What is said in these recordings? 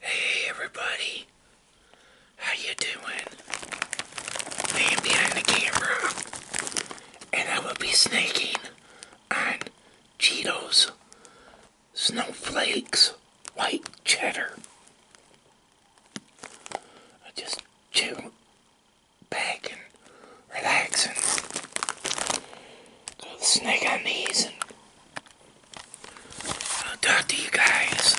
Hey everybody, how you doing? I behind the camera, and I will be snaking on Cheetos, snowflakes, white cheddar. I just chill, back and relax and snake on these I'll talk to you guys.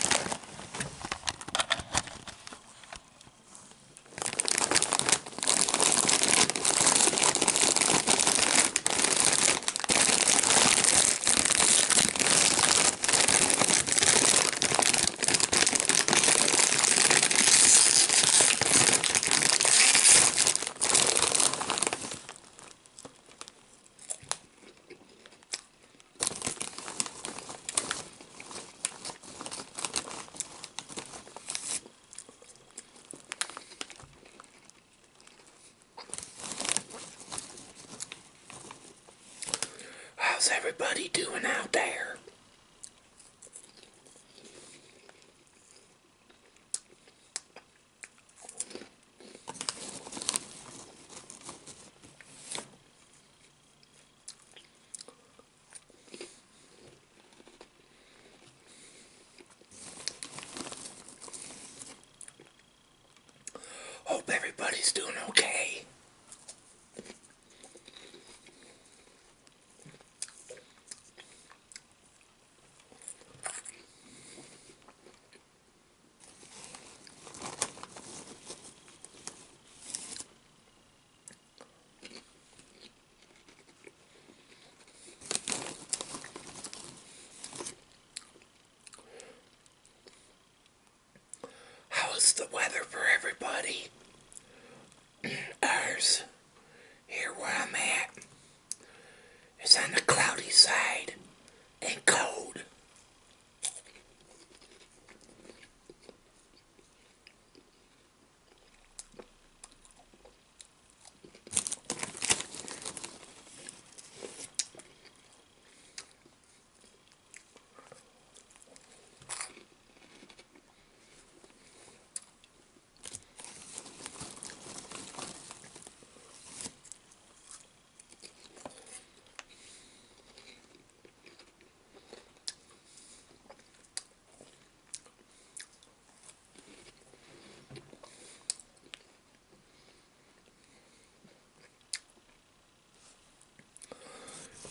How's everybody doing out there? Hope everybody's doing okay. How's the weather for everybody? Ours, here where I'm at. It's on the cloudy side and cold.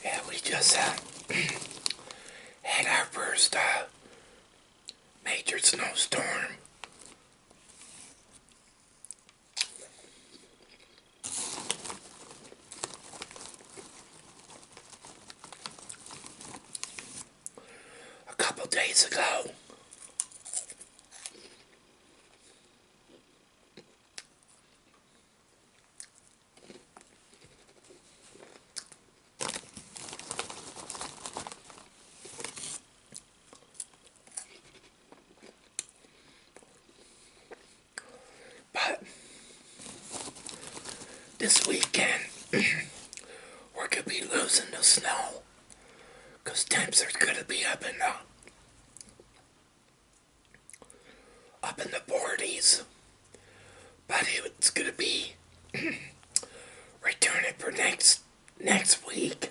Yeah, we just uh, had, our first uh, major snowstorm a couple days ago, but this weekend, we're going to be losing the snow because temps are going to be up in the up in the 40s but it's going to be returning for next next week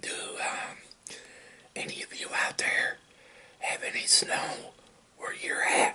Do uh, any of you out there have any snow where you're at.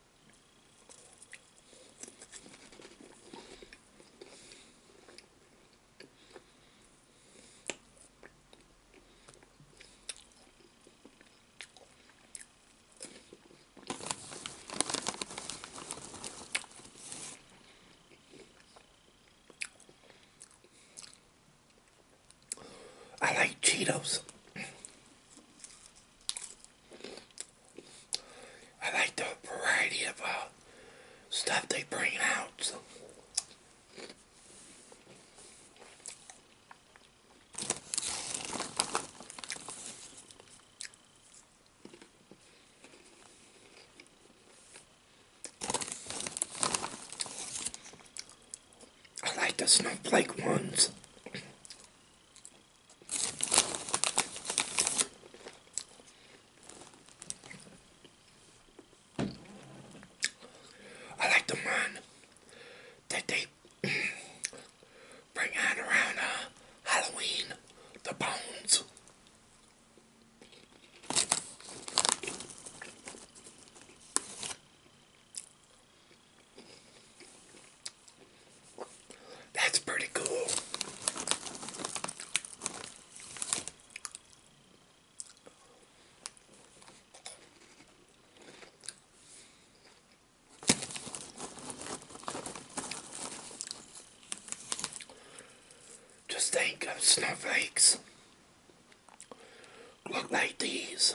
I like Cheetos. I like the variety of uh, stuff they bring out. So. I like the snowflake ones. I like the one that they bring on around uh, Halloween, the bones. That's pretty cool. Just think of snowflakes. Look like these.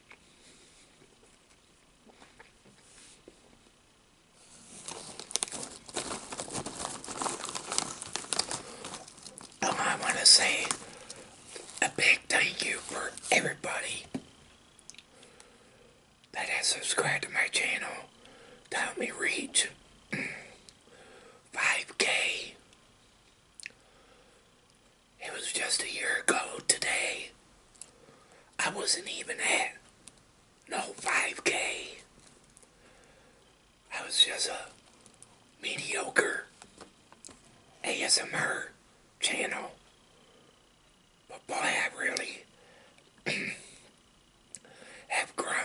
Um, I want to say a big thank you for everybody that has subscribed to my channel to help me reach 5k it was just a year ago today. I wasn't even at no 5K. I was just a mediocre ASMR channel. But boy, I really have grown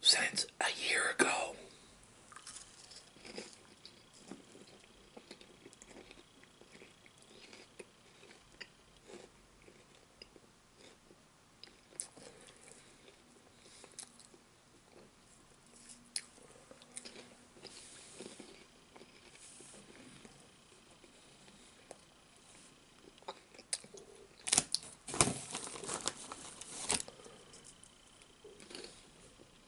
since a year ago.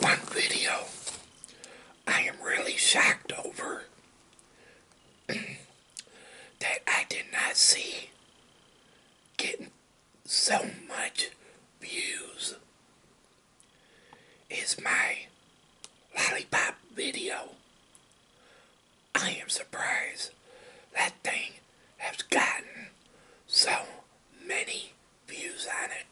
One video I am really shocked over that I did not see getting so much views is my lollipop video. I am surprised that thing has gotten so many views on it.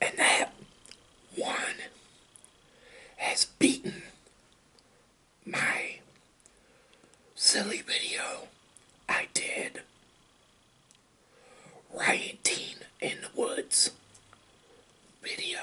And that one has beaten my silly video I did rioting in the woods video.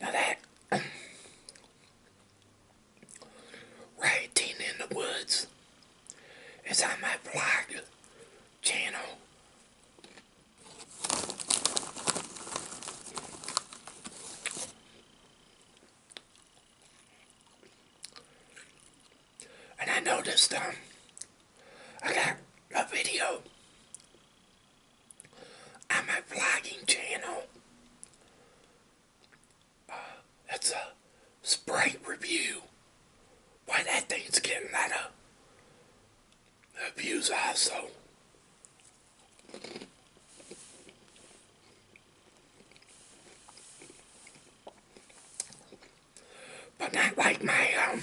Now that rioting in the woods is on my vlog channel. And I noticed um I got a video I'm a vlogging channel. Uh, that's a Sprite review. Why that thing's getting a lot of views also. But not like my um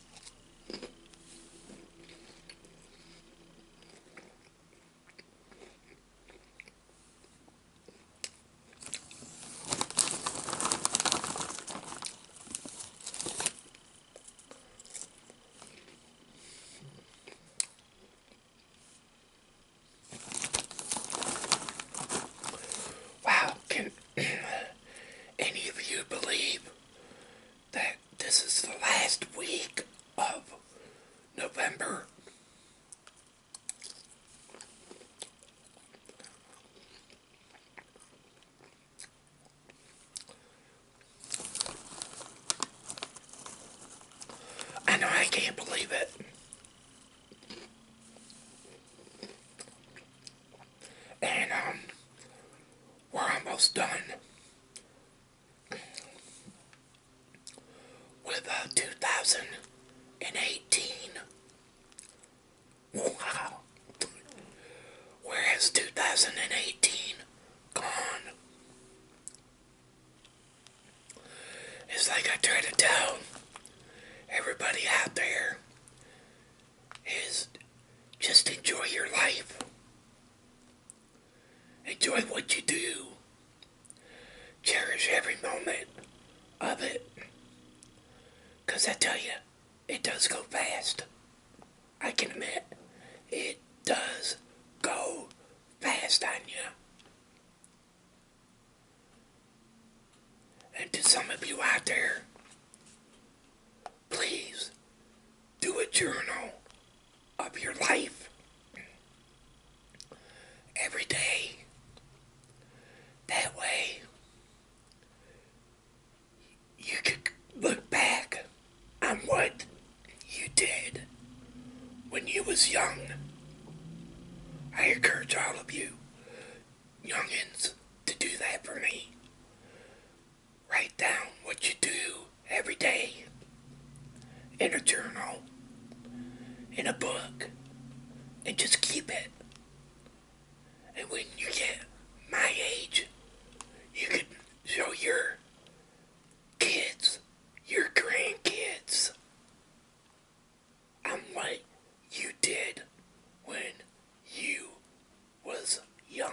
Wow, can any of you believe that this is the last week of November? I know I can't believe it and um, we're almost done with uh, 2018. Wow. Where has 2018 gone? It's like I try to tell everybody out there is just enjoy your life. Enjoy what you do. Cherish every moment of it. Because I tell you, it does go fast. I can admit, it does go fast on you. And to some of you out there, please do a journal of your life every day. That way, you could look back on what you did when you was young. I encourage all of you youngins to do that for me. Write down what you do every day in a journal, in a book, and just keep it. And when you get my age, you can show your kids, your grandkids. I'm like you did when you was young.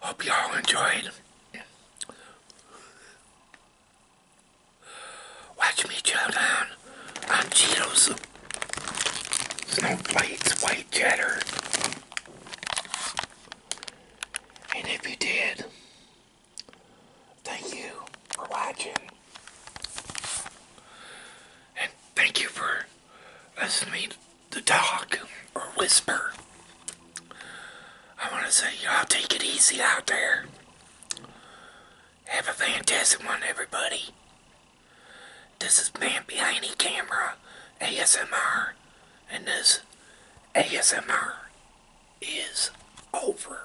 Hope y'all enjoyed. Watch me chow down on Cheetos, snowflakes, white cheddar. And if you did, Thank you for watching. And thank you for listening to talk or whisper. I want to say, y'all take it easy out there. Have a fantastic one, everybody. This is Man Behind the Camera ASMR, and this ASMR is over.